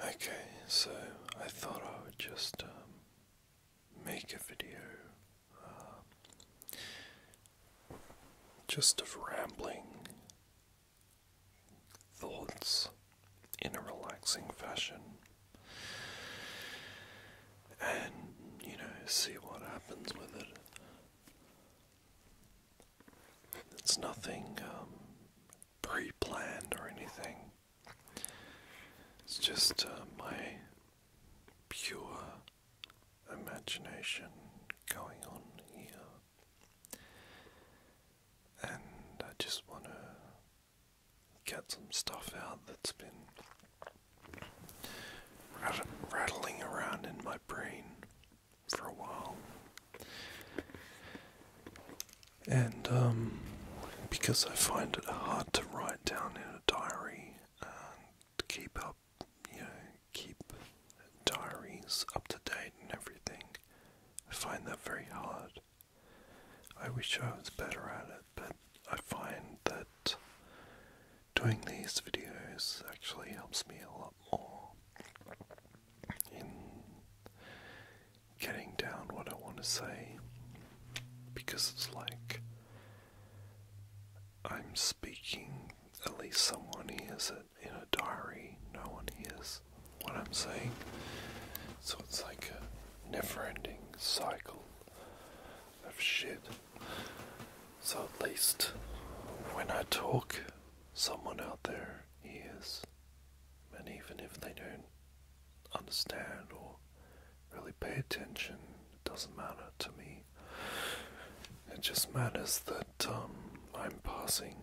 Okay, so I thought I would just um, make a video uh, just of rambling thoughts in a relaxing fashion and, you know, see what happens with it. It's nothing um, very planned or anything. It's just uh, my pure imagination going on here. And I just want to get some stuff out that's been rattling around in my brain for a while. And um, because I find it hard to write down in a diary and keep up, you know, keep diaries up to date and everything, I find that very hard. I wish I was better at it, but I find that doing these videos actually helps me a lot more in getting down what I want to say because it's like I'm speaking, at least someone hears it in a diary, no one hears what I'm saying. So it's like a never ending cycle of shit. So at least when I talk, someone out there hears and even if they don't understand or really pay attention, it doesn't matter to me. It just matters that um, I'm passing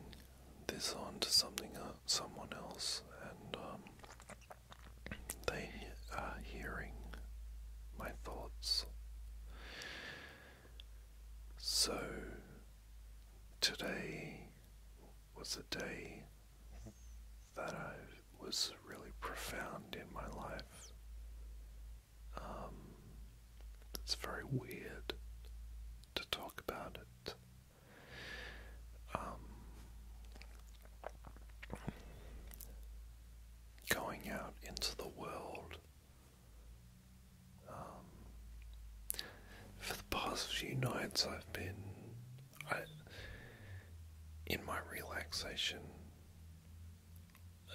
this on to something, uh, someone else, and um, they are hearing my thoughts. So today was a day that I was really profound in my life. Um, it's very weird to talk about it. Um, going out into the world. Um, for the past few nights, I've been I, in my relaxation.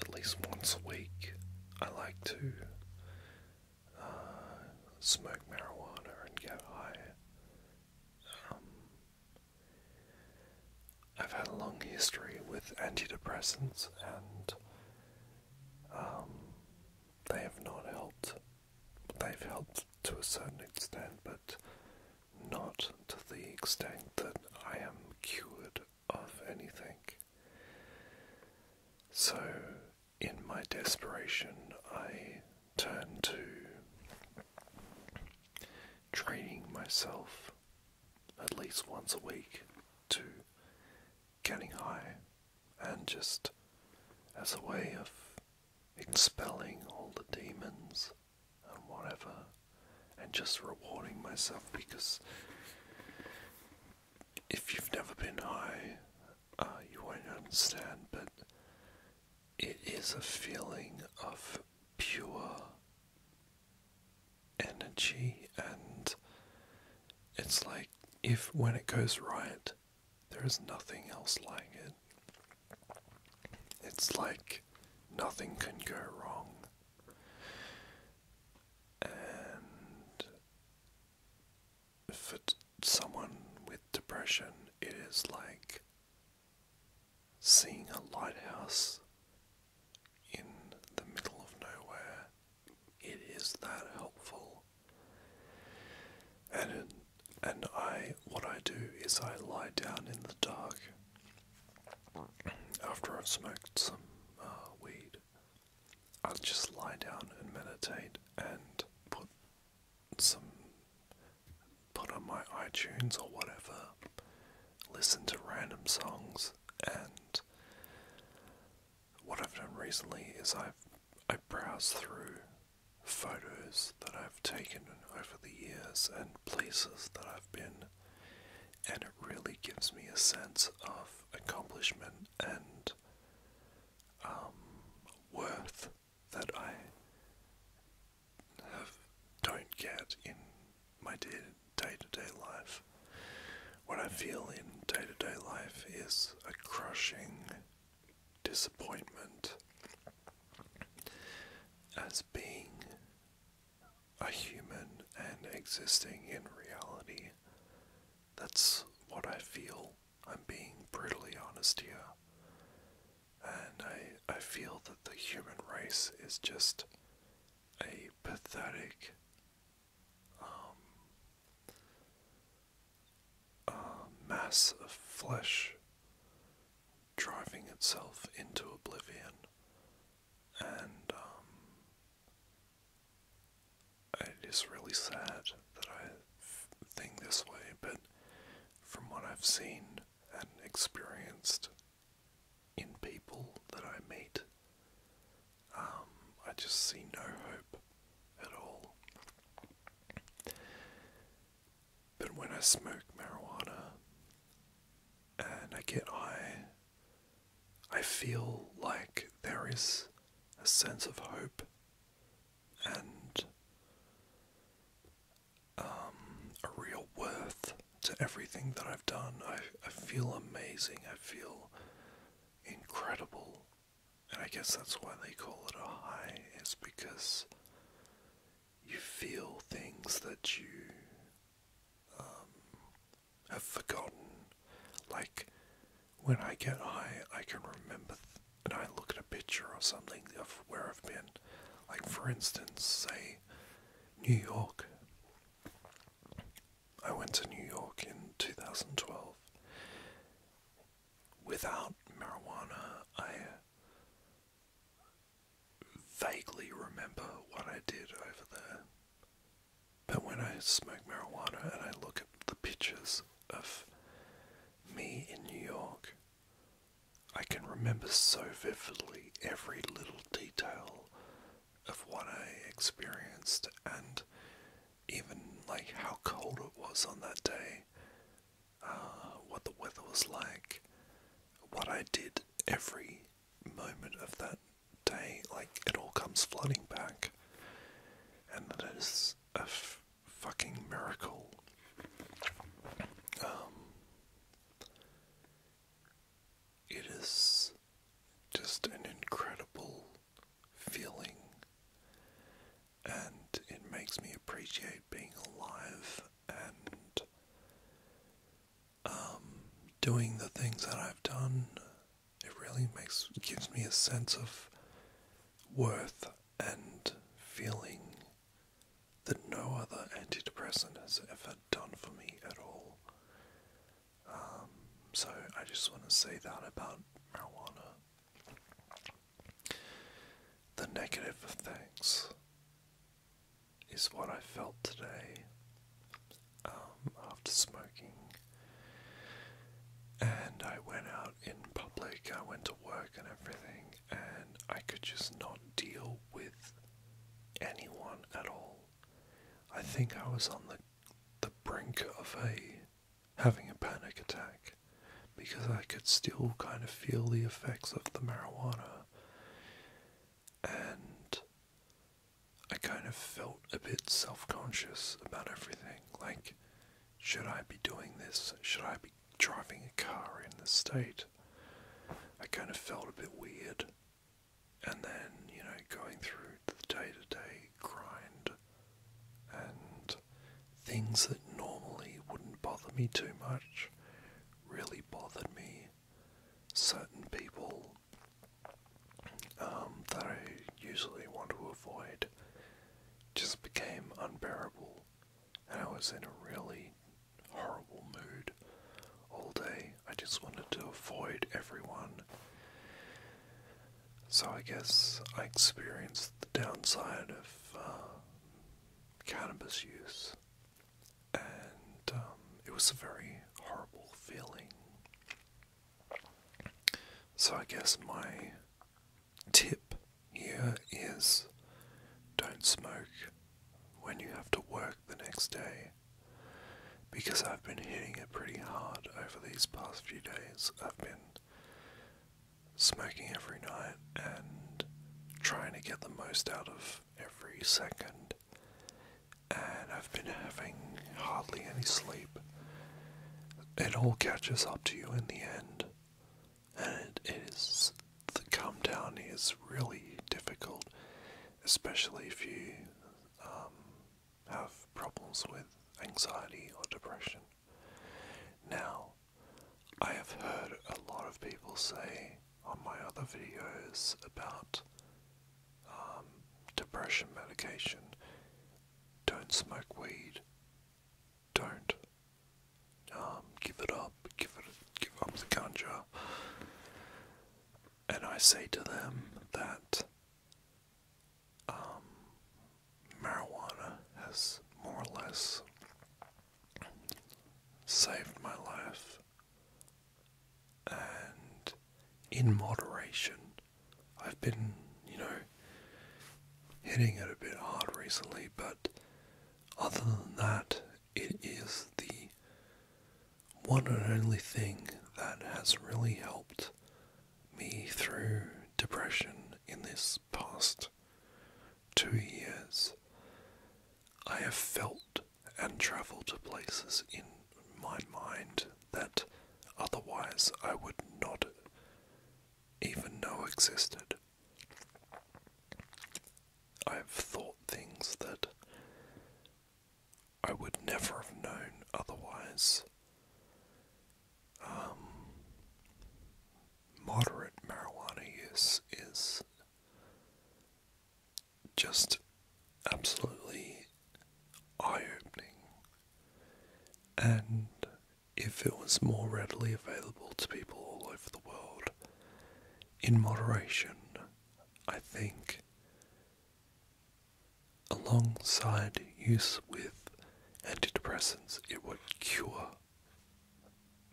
At least once a week, I like to uh, smoke marijuana and get high. Um, I've had a long history with antidepressants, and um, they have not helped. They've helped to a certain extent, but not to the extent that I am cured of anything. So, in my desperation, I turn to training myself at least once a week to getting high and just as a way of expelling all the demons and whatever, and just rewarding myself because if you've never been high, uh, you won't understand, but it is a feeling of pure energy, and it's like if when it goes right, there is nothing else like it. It's like nothing can go wrong. And for someone with depression, it is like seeing a lighthouse in the middle of nowhere. It is that helpful. And and I what I do is I lie down in the dark after I've smoked some uh, weed. I just lie down and meditate and put some put on my iTunes or whatever, listen to random songs and what I've done recently is I've I browse through photos that I've taken over the years and places that I've been, and it really gives me a sense of accomplishment and um, worth that I have don't get in my day-to-day life. What I feel in day to -day life is a crushing disappointment as being a human and existing in reality. That's what I feel. I'm being brutally honest here. And I, I feel that the human race is just a pathetic um, uh, mass of flesh driving itself into oblivion. And um, it is really sad that I think this way, but from what I've seen and experienced in people that I meet, um, I just see no hope at all. But when I smoke marijuana and I get high, I feel like there is a sense of hope and um, a real worth to everything that I've done. I, I feel amazing. I feel incredible. And I guess that's why they call it a high, is because you feel things that you um, have forgotten. Like when I get high, I can remember and I look at a picture or something of where I've been. Like for instance, say New York. I went to New York in 2012 without marijuana, I vaguely remember what I did over there. But when I smoke marijuana and I look at the pictures of me in New York, I can remember so vividly every little detail of what I experienced and even like how cold it was on that day uh, what the weather was like, what I did every moment of that day. Like, it all comes flooding back. And that is a fucking miracle. Um, it is just an incredible feeling and it makes me appreciate being alive and um, doing the things that I've done. It really makes gives me a sense of worth and feeling that no other antidepressant has ever done for me at all. Um, so I just want to say that about marijuana. The negative of things is what I felt today um, after smoking. And I went out in public, I went to work and everything, and I could just not deal with anyone at all. I think I was on the the brink of a having a panic attack because I could still kind of feel the effects of the marijuana. And I kind of felt a bit self conscious about everything. Like, should I be doing this? Should I be driving a car in the state? I kind of felt a bit weird. And then, you know, going through the day to day grind and Things that normally wouldn't bother me too much really bothered me. Certain people um, that I usually want to avoid just became unbearable, and I was in a really horrible mood all day. I just wanted to avoid everyone. So I guess I experienced the downside of uh, cannabis use, and um, it was a very horrible feeling. So, I guess my tip here is don't smoke when you have to work the next day because I've been hitting it pretty hard over these past few days. I've been smoking every night and trying to get the most out of every second. And I've been having hardly any sleep. It all catches up to you in the end. And it is the come down is really difficult, especially if you um, have problems with anxiety or depression. Now, I have heard a lot of people say on my other videos about um, depression medication. Don't smoke weed. Don't. Um, give it up. Give it. Give up the ganja. And I say to them that um, marijuana has more or less saved my life. And in moderation, I've been, you know, hitting it a bit hard recently, but other than that, it is the one and only thing that has really helped me through depression in this past two years, I have felt and travelled to places in my mind that otherwise I would not even know existed. I've thought things that I would never have known otherwise. Um, moderate marijuana use is just absolutely eye opening. And if it was more readily available to people all over the world, in moderation, I think, alongside use with antidepressants, it would cure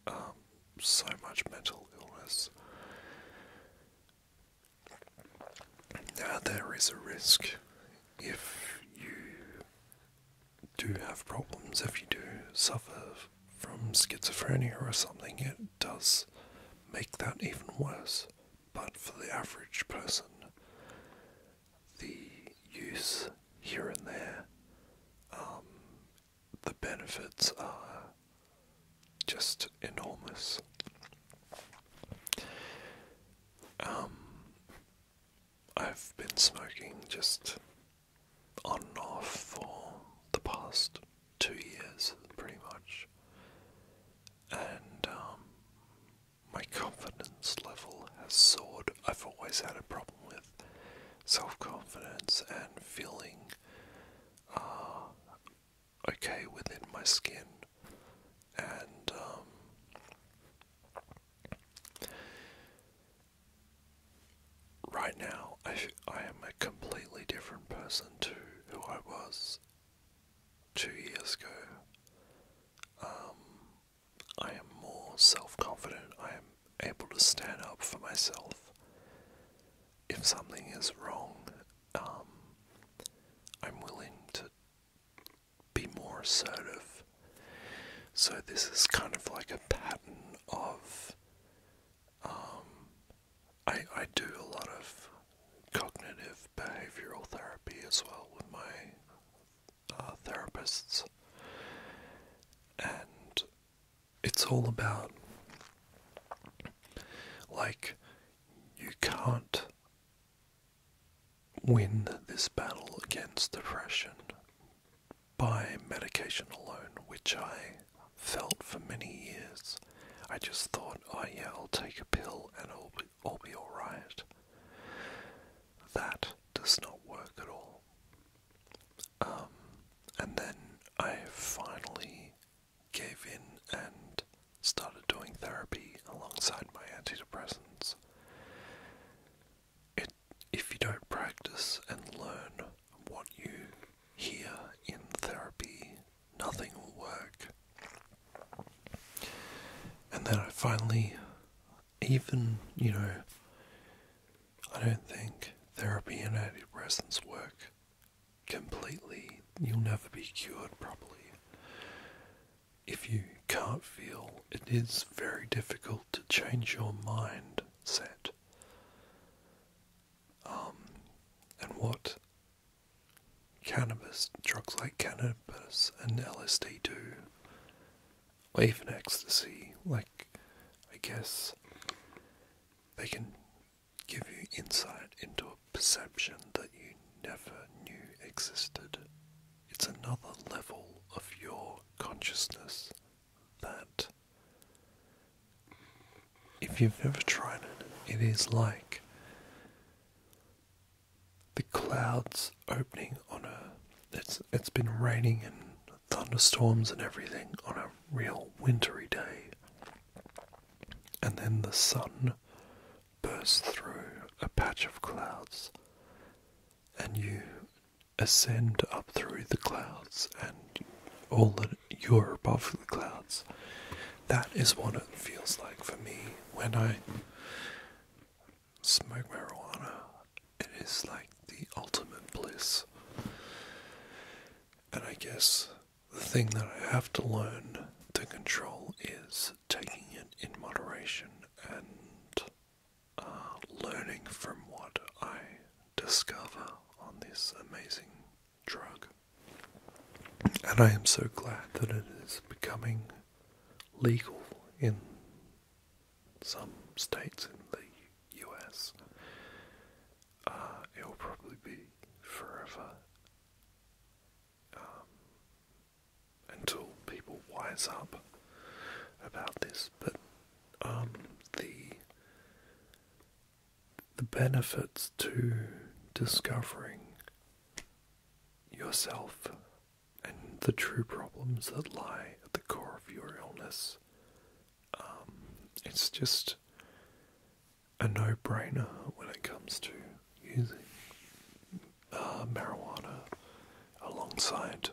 um, so much mental illness. Now, there is a risk if you do have problems, if you do suffer from schizophrenia or something, it does make that even worse. But for the average person, the use here and there um, the benefits are just enormous. Um, I've been smoking just on and off for the past two years, pretty much, and um, my confidence level has soared. I've always had a problem with self confidence and feeling uh, okay within my skin, and um, right now I, I am a completely different person to who I was two years ago. Um, I am more self confident. I am able to stand up for myself. If something is wrong, um, I'm willing to be more assertive. So, this is kind of like a pattern of. Um, I, I do a lot of cognitive behavioral therapy as well with my uh, therapists. And it's all about like you can't win this battle against depression by medication alone, which I felt for many years. I just thought, oh yeah, I'll take a pill and I'll be, I'll be alright. That does not work at all. Um, and then I finally gave in and started doing therapy alongside my antidepressants. It, if you don't practice and learn what you hear in therapy, nothing will work. And then I finally, even, you know, I don't think therapy and antidepressants work completely. You'll never be cured properly. If you can't feel, it is very difficult to change your mind set. Um, and what cannabis, drugs like cannabis and LSD do, or even ecstasy, like, I guess they can give you insight into a perception that you never knew existed. It's another level of your consciousness that, if you've never tried it, it is like the clouds opening on a. It's it's been raining and thunderstorms and everything on a real wintry day. And then the sun bursts through a patch of clouds, and you ascend up through the clouds, and all that you're above the clouds. That is what it feels like for me when I smoke marijuana. It is like the ultimate bliss. And I guess the thing that I have to learn to control is taking it in moderation and uh, learning from what I discover on this amazing drug. And I am so glad that it is becoming legal in some states in the US. Uh, it will probably be forever um, until people wise up about this. But um, the the benefits to discovering yourself and the true problems that lie at the core of your illness um, it's just a no brainer when it comes to using uh, marijuana alongside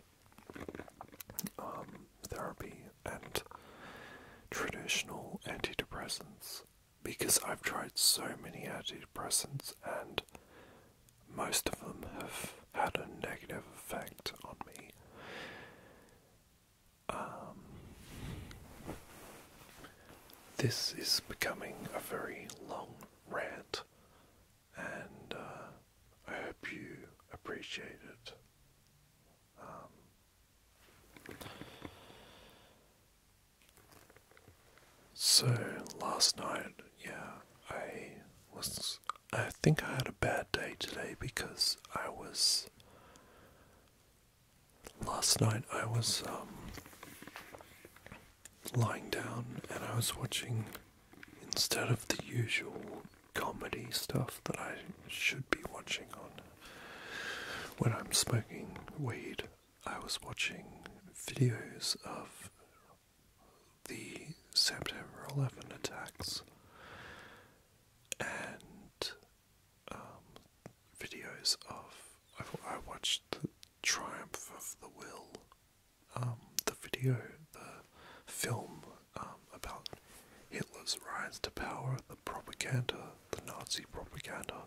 um, therapy and traditional antidepressants because I've tried so many antidepressants and most of them have had a negative effect on me. Um, this is becoming a very long rant, and uh, I hope you appreciate it. Um, so last night, yeah, I was. I think I had a bad day today because I was last night I was um, lying down and I was watching, instead of the usual comedy stuff that I should be watching on when I'm smoking weed, I was watching videos of the September 11 attacks and um, videos of. i I watched the Triumph of the Will, um, the video, the film um, about Hitler's rise to power, the propaganda, the Nazi propaganda,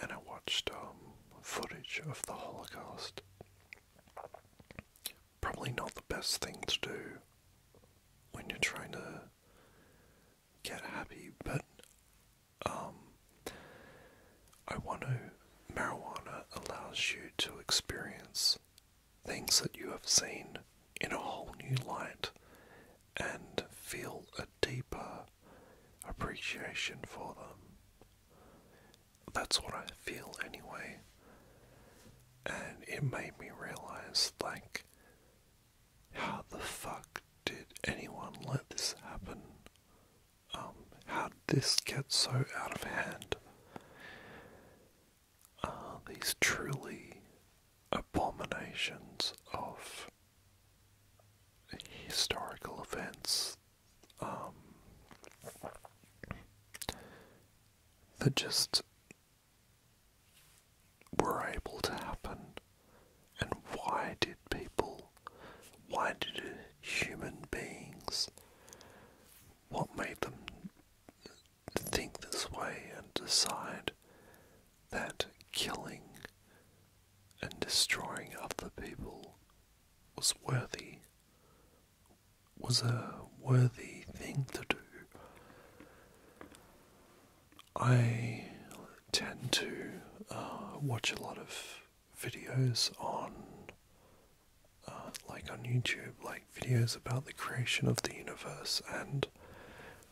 and I watched footage of the Holocaust. Probably not the best thing to do when you're trying to get happy, but um, I want to. Marijuana allows you to experience things that you have seen in a whole new light and feel a deeper appreciation for them. That's what I feel anyway. And it made me realize, like, how the fuck did anyone let this happen? Um, how did this get so out of hand? Are these truly abominations of historical events um, that just were able to happen and why did people, why did human beings, what made them think this way and decide that killing and destroying other people was worthy, was a worthy thing to do. I tend to uh, watch a lot of videos on, uh, like on YouTube, like videos about the creation of the universe and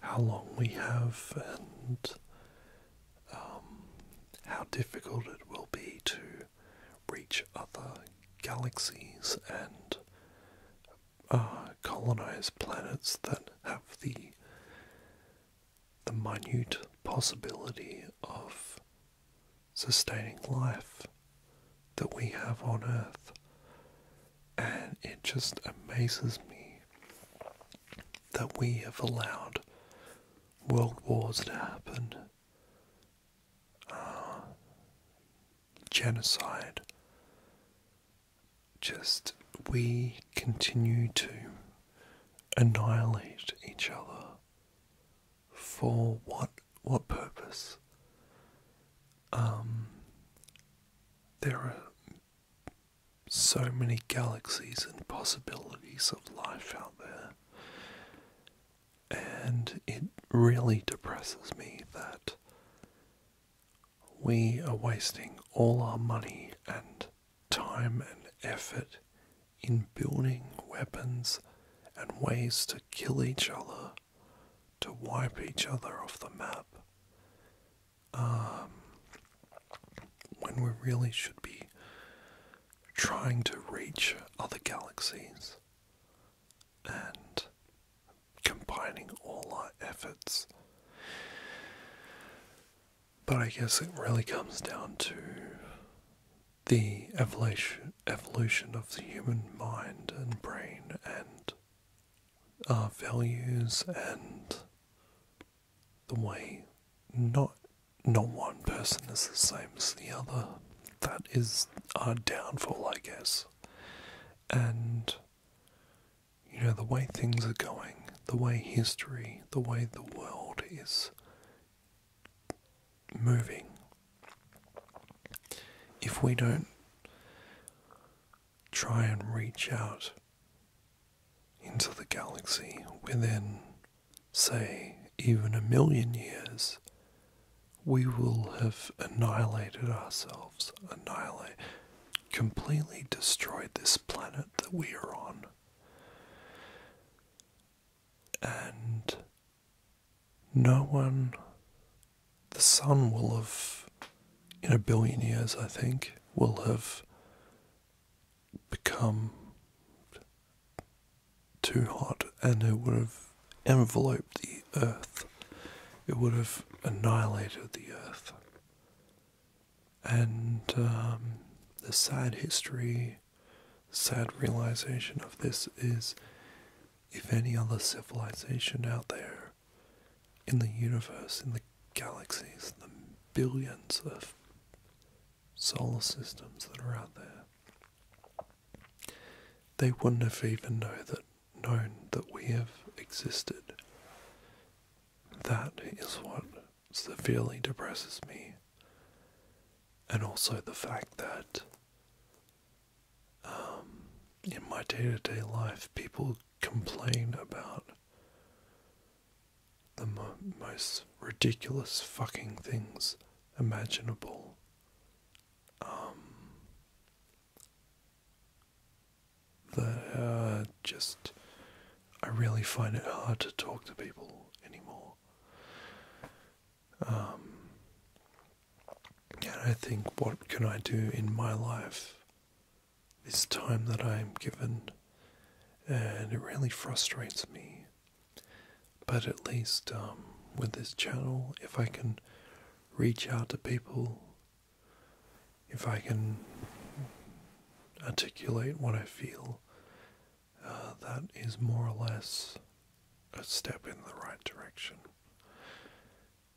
how long we have and um, how difficult it will be to reach other galaxies and uh, colonize planets that have the the minute possibility of sustaining life that we have on Earth. And it just amazes me that we have allowed world wars to happen, uh, genocide, just we continue to annihilate each other for what what purpose um there are so many galaxies and possibilities of life out there and it really depresses me that we are wasting all our money and time and effort in building weapons and ways to kill each other, to wipe each other off the map, um, when we really should be trying to reach other galaxies and combining all our efforts. But I guess it really comes down to the evolution, evolution of the human mind and brain and our values and the way not not one person is the same as the other. That is our downfall, I guess. And you know, the way things are going, the way history, the way the world is moving, if we don't try and reach out into the galaxy within, say, even a million years, we will have annihilated ourselves, annihilate, completely destroyed this planet that we are on. And no one, the sun will have, in a billion years, I think, will have become too hot and it would have enveloped the earth. It would have annihilated the earth and um, the sad history, sad realization of this is if any other civilization out there in the universe, in the galaxies, the billions of solar systems that are out there, they wouldn't have even know that known that we have existed that is what severely depresses me. And also the fact that um, in my day to day life, people complain about the most ridiculous fucking things imaginable. Um, that uh, just I really find it hard to talk to people anymore. Um, and I think, what can I do in my life? This time that I am given, and it really frustrates me. But at least um, with this channel, if I can reach out to people if I can articulate what I feel, uh, that is more or less a step in the right direction.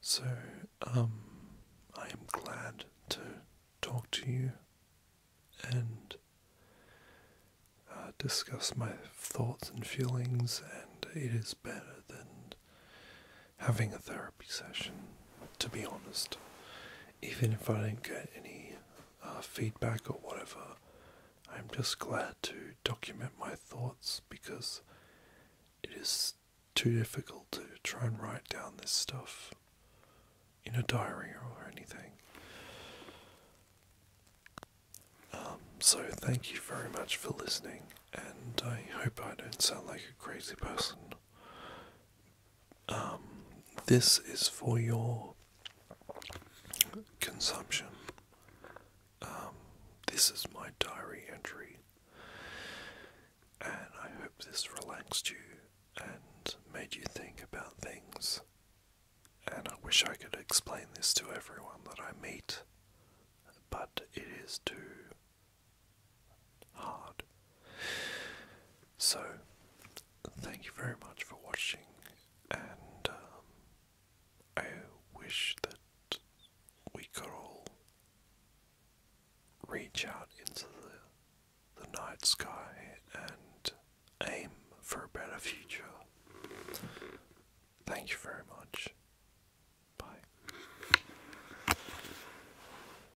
So, um, I am glad to talk to you and uh, discuss my thoughts and feelings, and it is better than having a therapy session, to be honest. Even if I don't get any uh, feedback or whatever, I'm just glad to document my thoughts because it is too difficult to try and write down this stuff in a diary or anything. Um, so, thank you very much for listening, and I hope I don't sound like a crazy person. Um, this is for your consumption. Um, this is my diary entry, and I hope this relaxed you and made you think about things. And I wish I could explain this to everyone that I meet, but it is too hard. So, thank you very much for watching, and um, I wish that we could all reach out into the, the night sky and aim for a better future. Thank you very much. Bye.